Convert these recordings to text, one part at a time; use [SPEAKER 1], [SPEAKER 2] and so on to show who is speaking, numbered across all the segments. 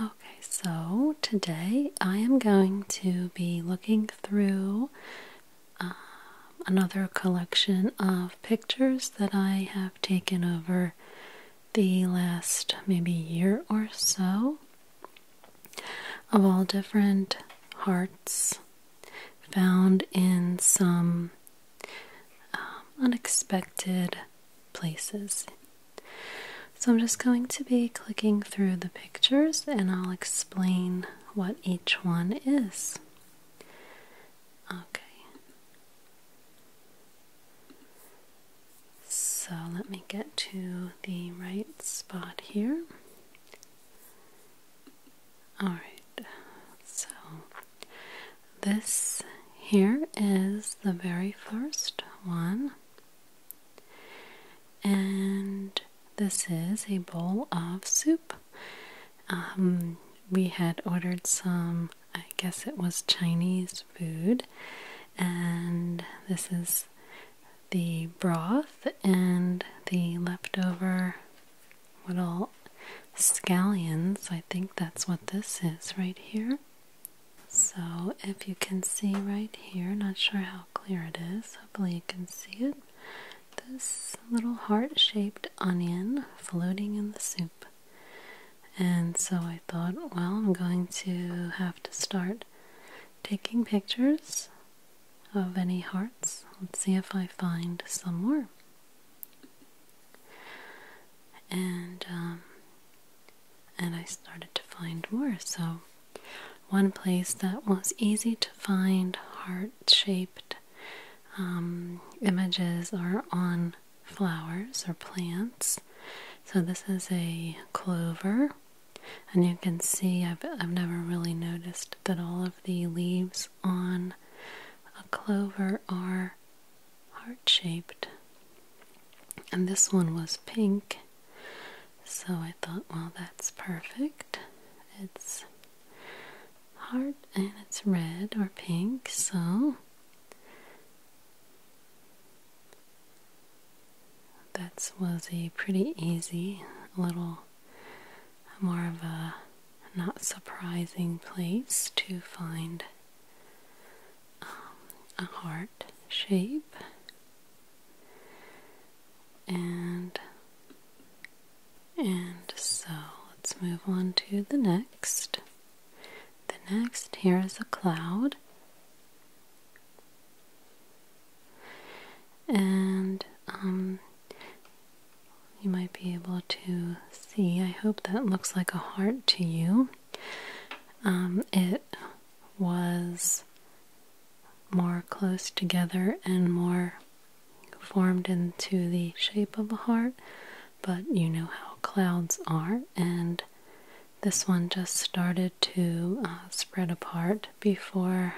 [SPEAKER 1] Okay, so today I am going to be looking through um, another collection of pictures that I have taken over the last maybe year or so of all different hearts found in some um, unexpected places. So I'm just going to be clicking through the pictures and I'll explain what each one is. Okay. So let me get to the right spot here. Alright, so this here is the very first one, and this is a bowl of soup. Um, we had ordered some, I guess it was Chinese food, and this is the broth and the leftover little scallions. I think that's what this is right here. So, if you can see right here, not sure how clear it is, hopefully, you can see it. This little heart shaped onion floating in the soup. And so I thought, well, I'm going to have to start taking pictures of any hearts. Let's see if I find some more. And um, and I started to find more. So, one place that was easy to find heart shaped um, images are on flowers or plants. So, this is a clover, and you can see I've, I've never really noticed that all of the leaves on a clover are heart shaped. And this one was pink, so I thought, well, that's perfect. It's heart and it's red or pink, so that was a pretty easy little, more of a not surprising place to find um, a heart shape and and so let's move on to the next the next here is a cloud and um you might be able to see I hope that looks like a heart to you um, it was more close together and more formed into the shape of a heart, but you know how clouds are, and this one just started to uh, spread apart before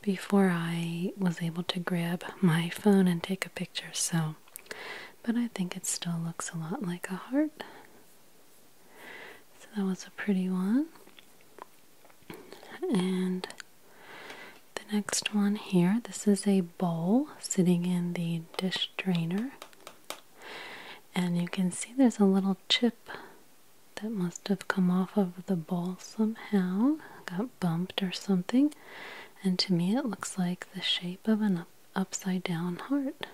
[SPEAKER 1] before I was able to grab my phone and take a picture. So but I think it still looks a lot like a heart. So that was a pretty one. And the next one here, this is a bowl sitting in the dish drainer. And you can see there's a little chip that must have come off of the bowl somehow, got bumped or something. And to me, it looks like the shape of an upside down heart.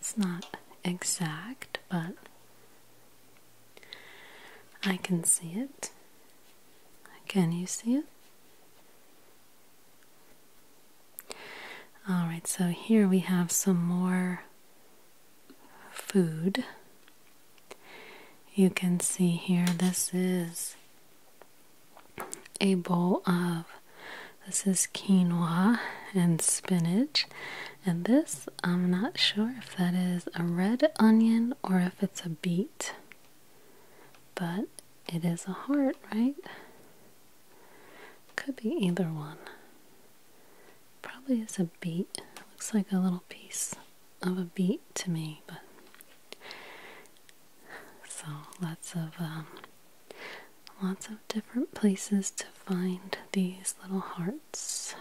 [SPEAKER 1] It's not exact, but I can see it. Can you see it? Alright, so here we have some more food. You can see here this is a bowl of this is quinoa and spinach, and this I'm not sure if that is a red onion or if it's a beet, but it is a heart, right? Could be either one. Probably is a beet. Looks like a little piece of a beet to me, but so lots of um, lots of different places to find these little hearts.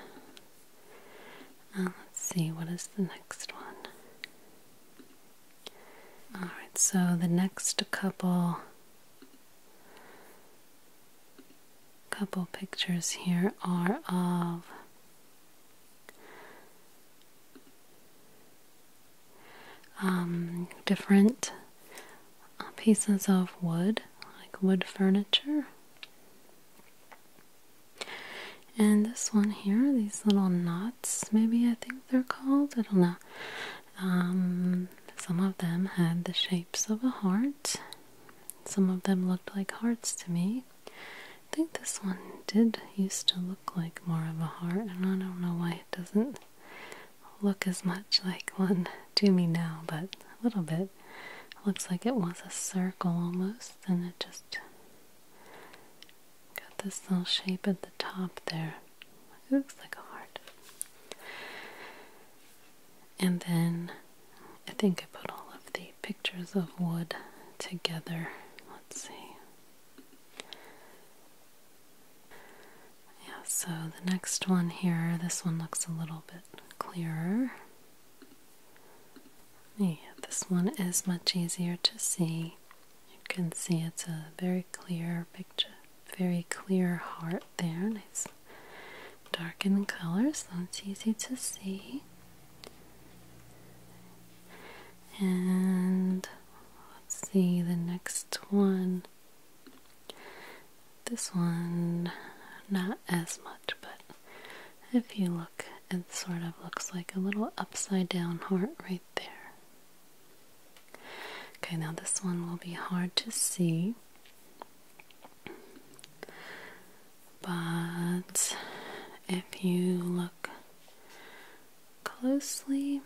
[SPEAKER 1] Uh, let's see what is the next one. All right, so the next couple couple pictures here are of um, different uh, pieces of wood, like wood furniture. And this one here, these little knots, maybe I think they're called, I don't know. Um, some of them had the shapes of a heart. Some of them looked like hearts to me. I think this one did used to look like more of a heart, and I don't know why it doesn't look as much like one to me now, but a little bit. looks like it was a circle almost, and it just got this little shape at the top there. It looks like a heart. And then I think I put all of the pictures of wood together. Let's see. Yeah, so the next one here, this one looks a little bit clearer. Yeah, this one is much easier to see. You can see it's a very clear picture, very clear heart there. Nice dark in color, so it's easy to see. And let's see the next one. This one, not as much, but if you look, it sort of looks like a little upside down heart right there. Okay, now this one will be hard to see, but if you look closely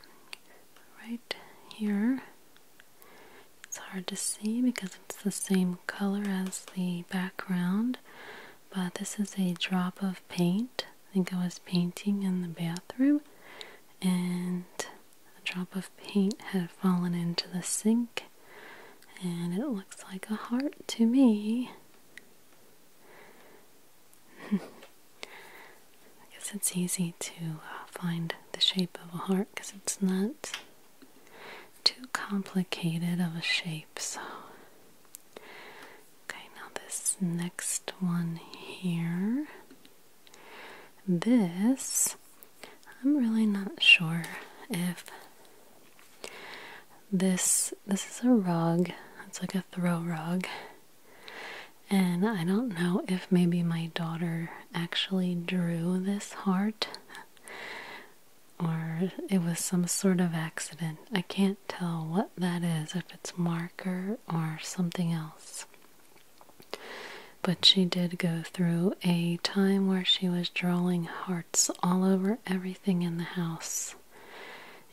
[SPEAKER 1] right here. It's hard to see because it's the same color as the background, but this is a drop of paint. I think I was painting in the bathroom, and a drop of paint had fallen into the sink, and it looks like a heart to me. I guess it's easy to uh, find the shape of a heart because it's not too complicated of a shape. So, okay, now this next one here. This, I'm really not sure if this this is a rug. It's like a throw rug. And I don't know if maybe my daughter actually drew this heart or it was some sort of accident. I can't tell what that is, if it's marker or something else. But she did go through a time where she was drawing hearts all over everything in the house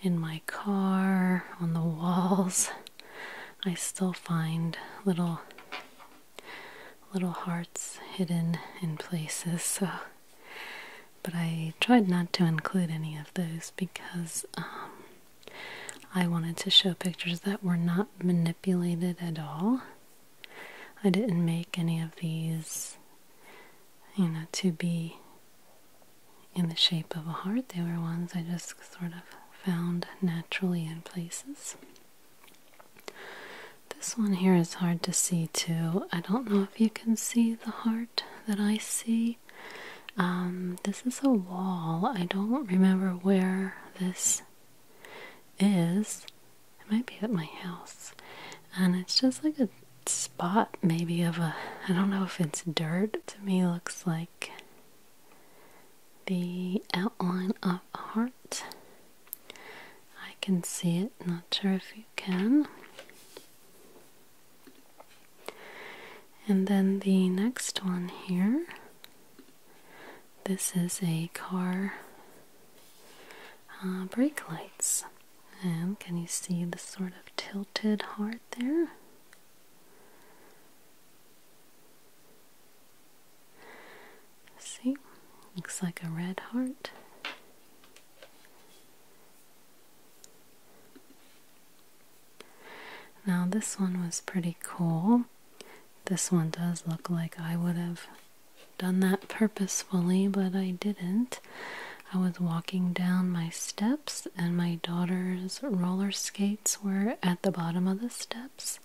[SPEAKER 1] in my car, on the walls. I still find little little hearts hidden in places but I tried not to include any of those because um, I wanted to show pictures that were not manipulated at all. I didn't make any of these, you know, to be in the shape of a heart. They were ones I just sort of found naturally in places. This one here is hard to see too. I don't know if you can see the heart that I see. Um, this is a wall. I don't remember where this is. It might be at my house. And it's just like a spot maybe of a I don't know if it's dirt to me looks like the outline of a heart. I can see it, not sure if you can. And then the next one here. This is a car uh, brake lights. And can you see the sort of tilted heart there? See? Looks like a red heart. Now, this one was pretty cool. This one does look like I would have done that purposefully, but I didn't. I was walking down my steps, and my daughter's roller skates were at the bottom of the steps,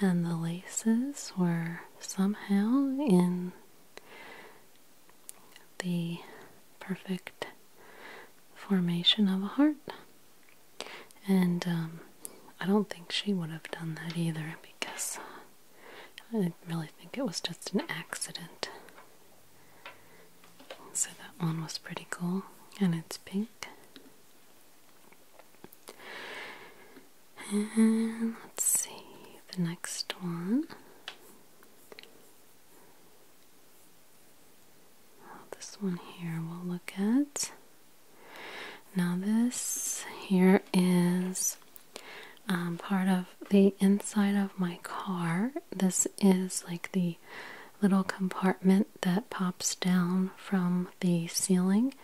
[SPEAKER 1] and the laces were somehow in the perfect formation of a heart. And um, I don't think she would have done that either because I really think it was just an accident. So that one was pretty cool, and it's pink. And let's see the next one. This one here we'll look at. Now, this here is um, part of the inside of my car. This is like the little compartment that pops down from the ceiling,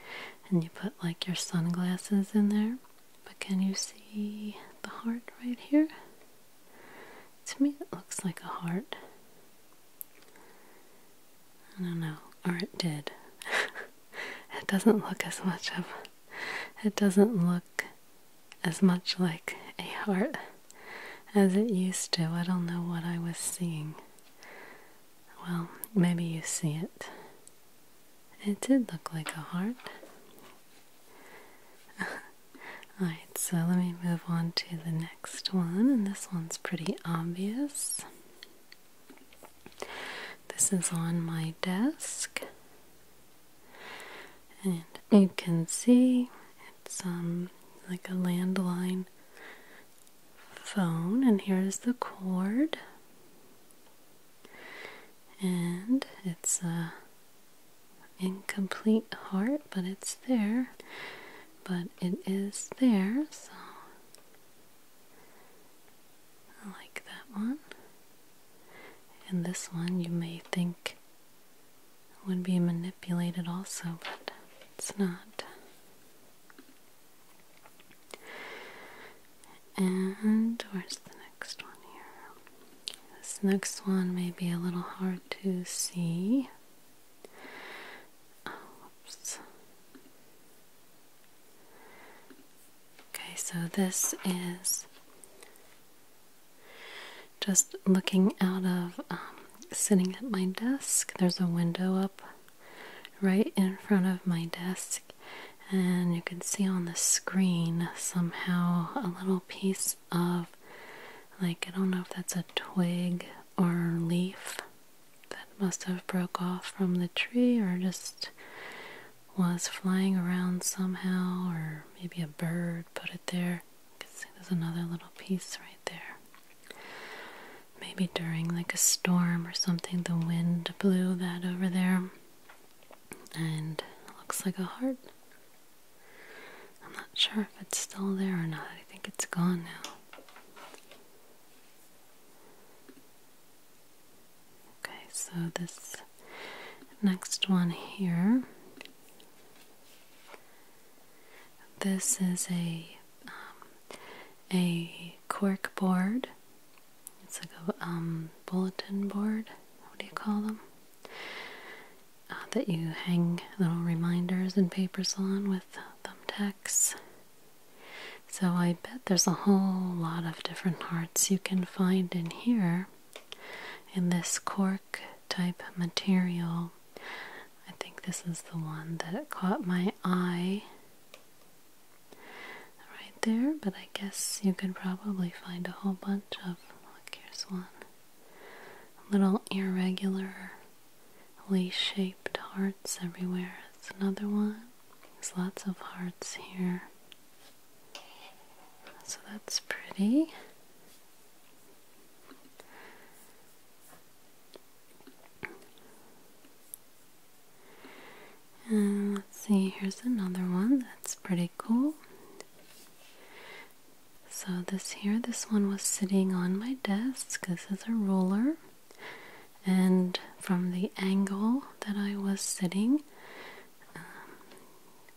[SPEAKER 1] and you put like your sunglasses in there. But can you see the heart right here? To me, it looks like a heart. I don't know, or it did. it doesn't look as much of it doesn't look as much like a heart as it used to. I don't know what I was seeing. Well, maybe you see it. It did look like a heart. Alright, so let me move on to the next one, and this one's pretty obvious. This is on my desk and you can see it's um like a landline phone and here's the cord and it's a incomplete heart but it's there but it is there so I like that one and this one you may think would be manipulated also, but it's not. And where's the next one here? This next one may be a little hard to see. oops. Okay, so this is just looking out of um, sitting at my desk, there's a window up right in front of my desk, and you can see on the screen somehow a little piece of like I don't know if that's a twig or leaf that must have broke off from the tree or just was flying around somehow, or maybe a bird put it there. You can see there's another little piece right there. Maybe during like a storm or something, the wind blew that over there, and looks like a heart. I'm not sure if it's still there or not. I think it's gone now. Okay, so this next one here. This is a um, a cork board. It's like a um, bulletin board. What do you call them? Uh, that you hang little reminders and papers on with thumbtacks. So I bet there's a whole lot of different hearts you can find in here in this cork type material. I think this is the one that caught my eye right there, but I guess you could probably find a whole bunch of. Look, here's one. little irregularly shaped hearts everywhere. It's another one. There's lots of hearts here. So that's pretty. And let's see, here's another one that's pretty cool. So this here, this one was sitting on my desk. This is a ruler. And from the angle that I was sitting, um,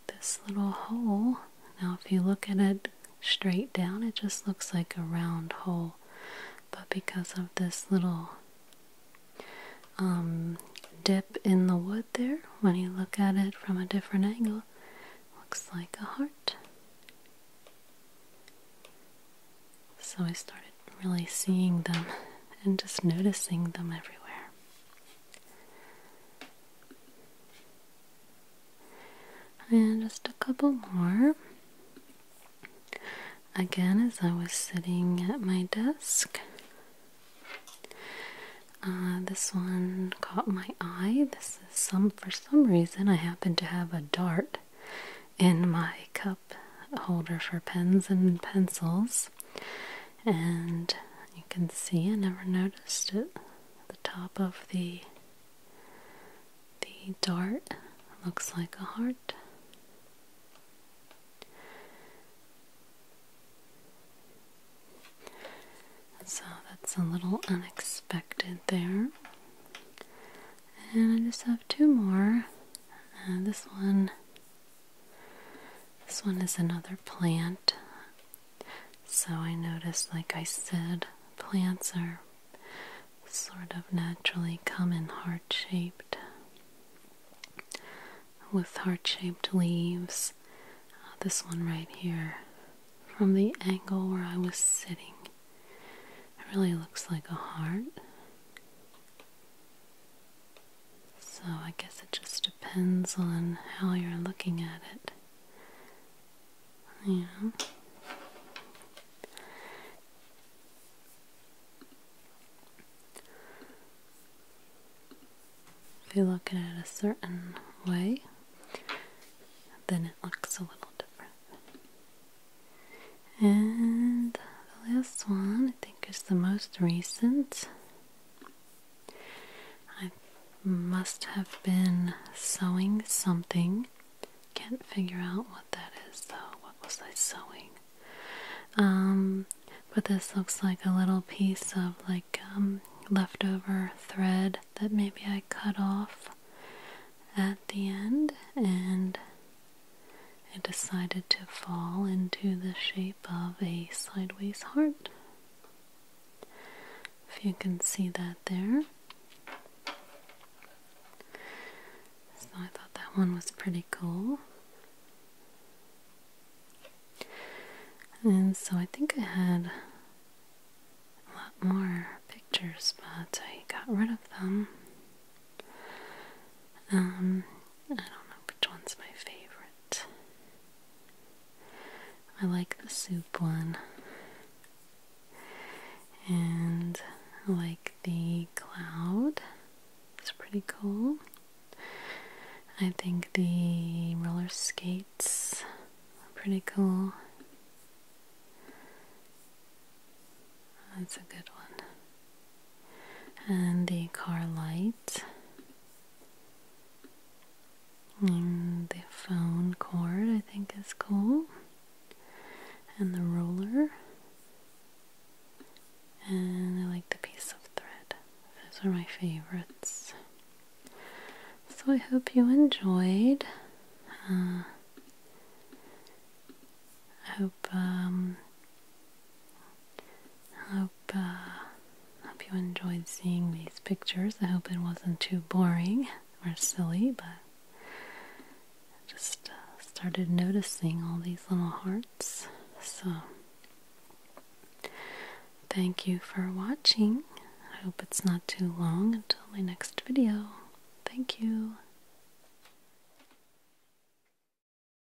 [SPEAKER 1] this little hole. Now, if you look at it straight down, it just looks like a round hole, but because of this little um, dip in the wood there, when you look at it from a different angle, looks like a heart. So I started really seeing them and just noticing them everywhere. And just a couple more. Again, as I was sitting at my desk, uh, this one caught my eye. This is some, for some reason, I happen to have a dart in my cup holder for pens and pencils and you can see I never noticed it. The top of the the dart looks like a heart. So that's a little unexpected there. And I just have two more. Uh, this one this one is another plant. So I noticed, like I said, plants are sort of naturally come in heart shaped, with heart shaped leaves. Uh, this one right here, from the angle where I was sitting, it really looks like a heart. So I guess it just depends on how you're looking at it. You know? If you look at it a certain way, then it looks a little different. And the last one, I think, is the most recent. I must have been sewing something. Can't figure out what that is though. What was I sewing? Um, but this looks like a little piece of like um, leftover thread that maybe I cut off at the end and it decided to fall into the shape of a sideways heart. If you can see that there. So I thought that one was pretty cool. And so I think I had a lot more pictures, but I got rid of them. Um, I don't know which one's my favorite. I like the soup one. And like the cloud. It's pretty cool. I think the roller skates are pretty cool. That's a good one and the car light, and the phone cord I think is cool and the roller and I like the piece of thread. Those are my favorites. So I hope you enjoyed. Uh, I hope um, I hope, uh, hope you enjoyed seeing these pictures. I hope it wasn't too boring or silly, but I just uh, started noticing all these little hearts. So, thank you for watching. I hope it's not too long until my next video. Thank you.